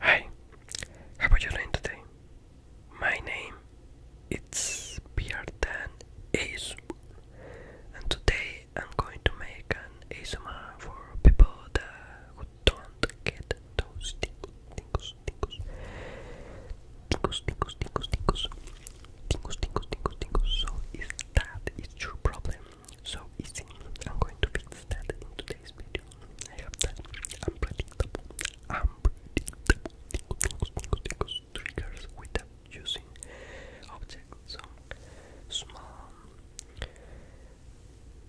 Hi, how about your name today? My name is Pierdan ASMR and today I'm going to make an ASMR for people that who don't get those tingles, tingles, tingles, tingles, tingles, tingles, tingles, tingles, So if that is your problem, so easy. I'm going to fix that in today's video. I have that unpredictable, unpredictable tickle, tickle, tickle, tickle, triggers without using objects. So small,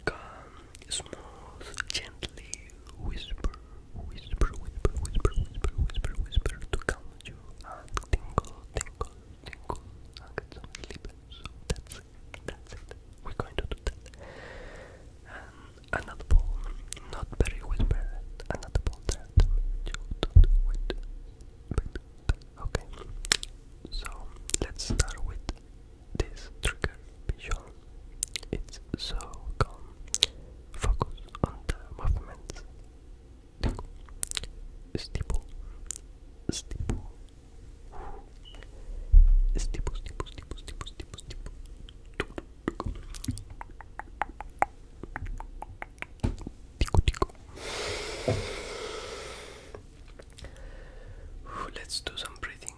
calm, small, gently whisper, whisper, whisper, whisper, whisper, whisper, whisper to calm you and tingle, tingle, tingle. I get some sleep. So that's that's it. We're going to do that. another ball, not very whispered. Another ball that don't wait. okay. So let's start with this trigger visual. It's so calm. Focus on the movements. Steeple, steeple, Let's do some breathing.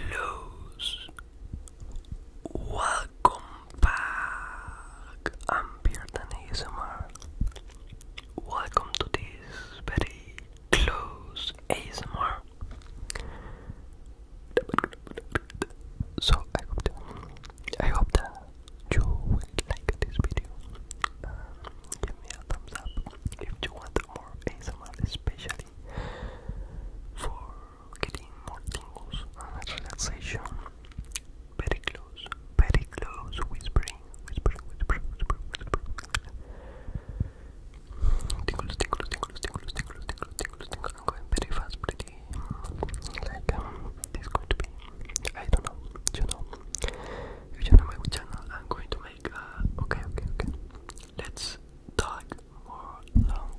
Close. Welcome back! I'm Bearden ASMR. Welcome to this very close ASMR. So I hope that, I hope that you will like this video. Uh, give me a thumbs up if you want more ASMR, especially for getting more tingles and relaxation very close, very close, whispering, whispering, whispering, whispering, whispering. Tingles, tingles, tingles, tingles, tingles, tingles, tingles, tingles. I'm going very fast, pretty. Like, um, this is going to be, I don't know, you know. If you know my channel, I'm going to make, uh, okay, okay, okay. Let's talk more long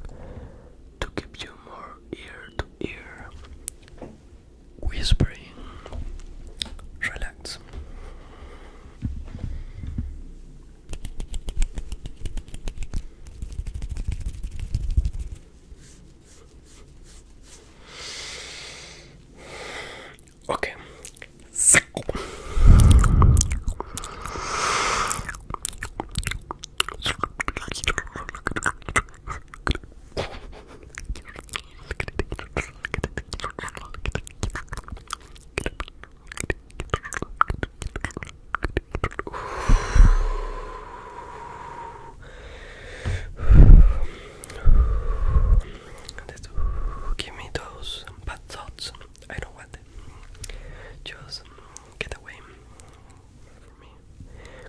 to give you more ear to ear whispering. Relax. Okay. That's, give me those bad thoughts. I don't want them. Just get away.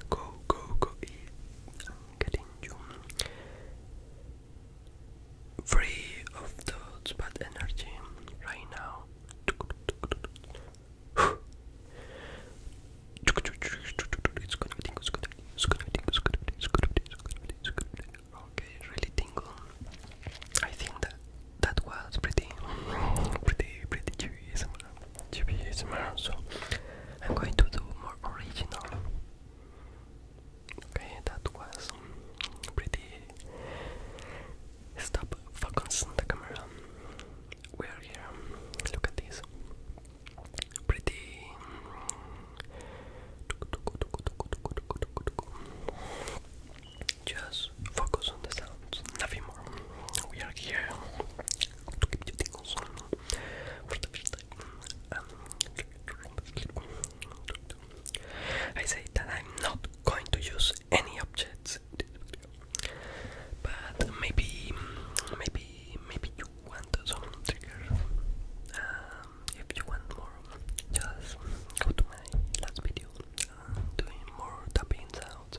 Go, go, go. I'm getting you free of thoughts bad energy right now. It's gonna tingle, it's gonna be it's gonna tingle, it's gonna be it's gonna be it's gonna be it's really tingle. I think that that was pretty pretty pretty cheery, GP ASMR, so I'm going to do more original. Okay, that was pretty. Stop focusing the camera. We're here. Look at this. Pretty. Just focus on the sound sounds, We are here to give you tingles for the first time. I say that I'm not going to use any objects in this video, but maybe, maybe, maybe you want some triggers. Um, if you want more, just go to my last video. Uh, doing more tapping sounds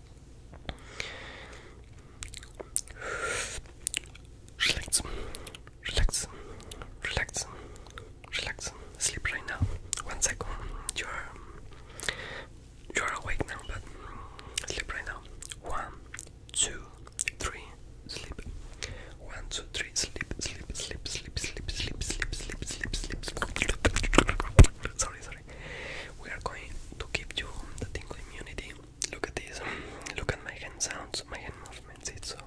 Relax, relax, relax, relax. Sleep right now. One second. You are you are awake now, but sleep right now. One, two, three. Sleep. One, two, three. Sleep, sleep, sleep, sleep, sleep, sleep, sleep, sleep, sleep, sleep. Sorry, sorry. We are going to keep you on the tingle immunity. Look at this. Look at my hand sounds, my hand movements. It's so.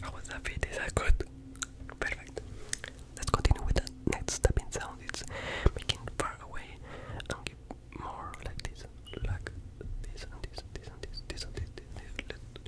How was that fit? Is that good? Perfect. Let's continue with the next stepping sound. It's making far away and give more like this, like this and this this this, this this. this, this.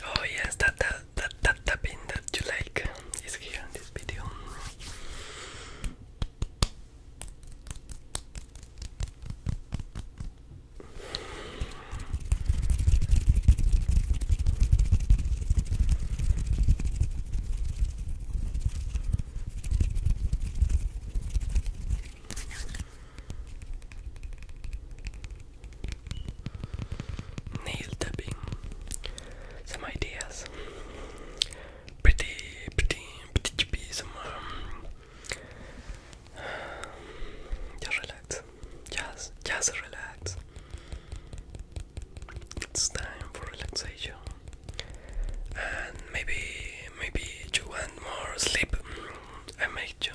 Oh yes, that that that that tapping that you like is here in this video. Nail tapping. Some ideas. Pretty, pretty, pretty Some. Um, just relax. Just, just relax. It's time for relaxation. And maybe maybe you want more sleep. Mm, I make you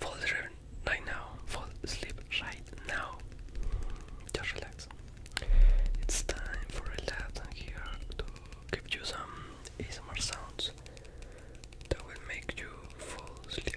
fall asleep right now. Fall asleep right now. Just relax. It's time for a and here to give you some easier sounds that will make you fall asleep.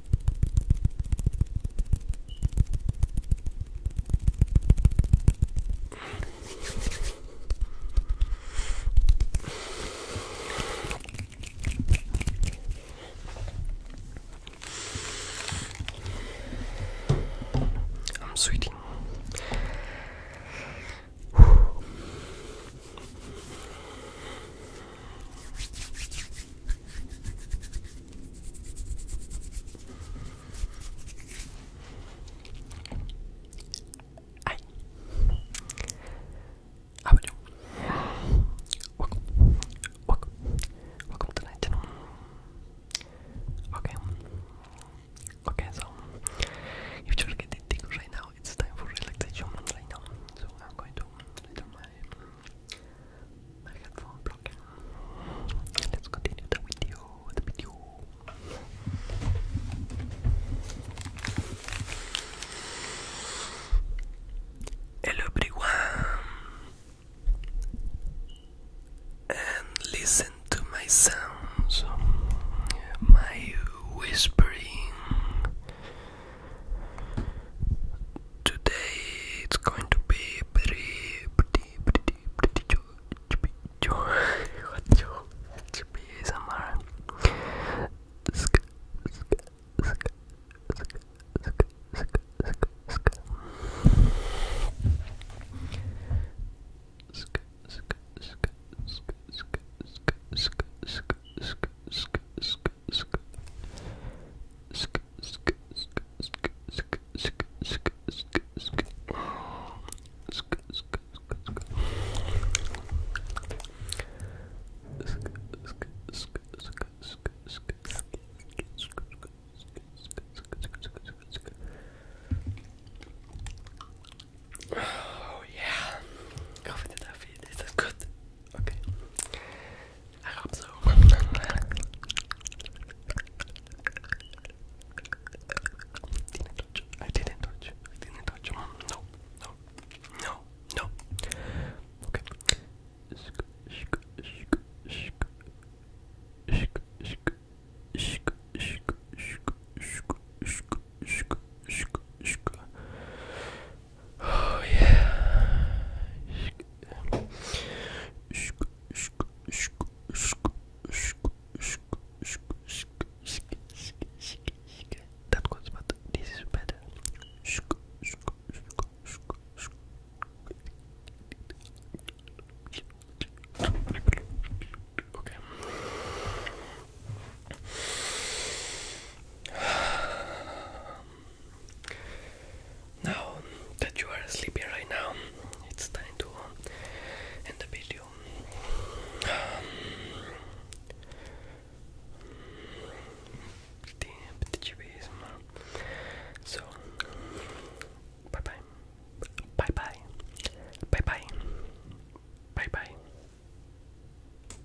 I'm sweating. Hi. How are Welcome. Welcome. Welcome to night channel. Okay. Okay, so if you're getting tingles right now, it's time for relaxation right now. So I'm going to little my my headphone blocking. Let's continue the video, the video. Hello everyone, and listen to my sounds, my whispering. Today it's going to be pretty, pretty, pretty, pretty chill, chill, chill, chill, somewhere. Sk, sk, sk, sk, sk, sk, sk, sk. Sk, sk, sk, sk, sk, sk, sk, sk, sk, sk sk sk sk sk sk sk sk sk sk sk sk sk sk Oh yeah, go for the Duffy. This is good. Okay. I hope so. didn't touch. I didn't touch. I didn't touch. No. No. No. No. Okay. Shk, shk, shk, shk. Shk, shk, shk, shk, shk, shk, shk, shk, shk, shk. Oh yeah. That was better. this is better. Okay. Now that you are sleepy right now, it's time to end the video. So, bye bye. Bye bye. Bye bye. Bye bye.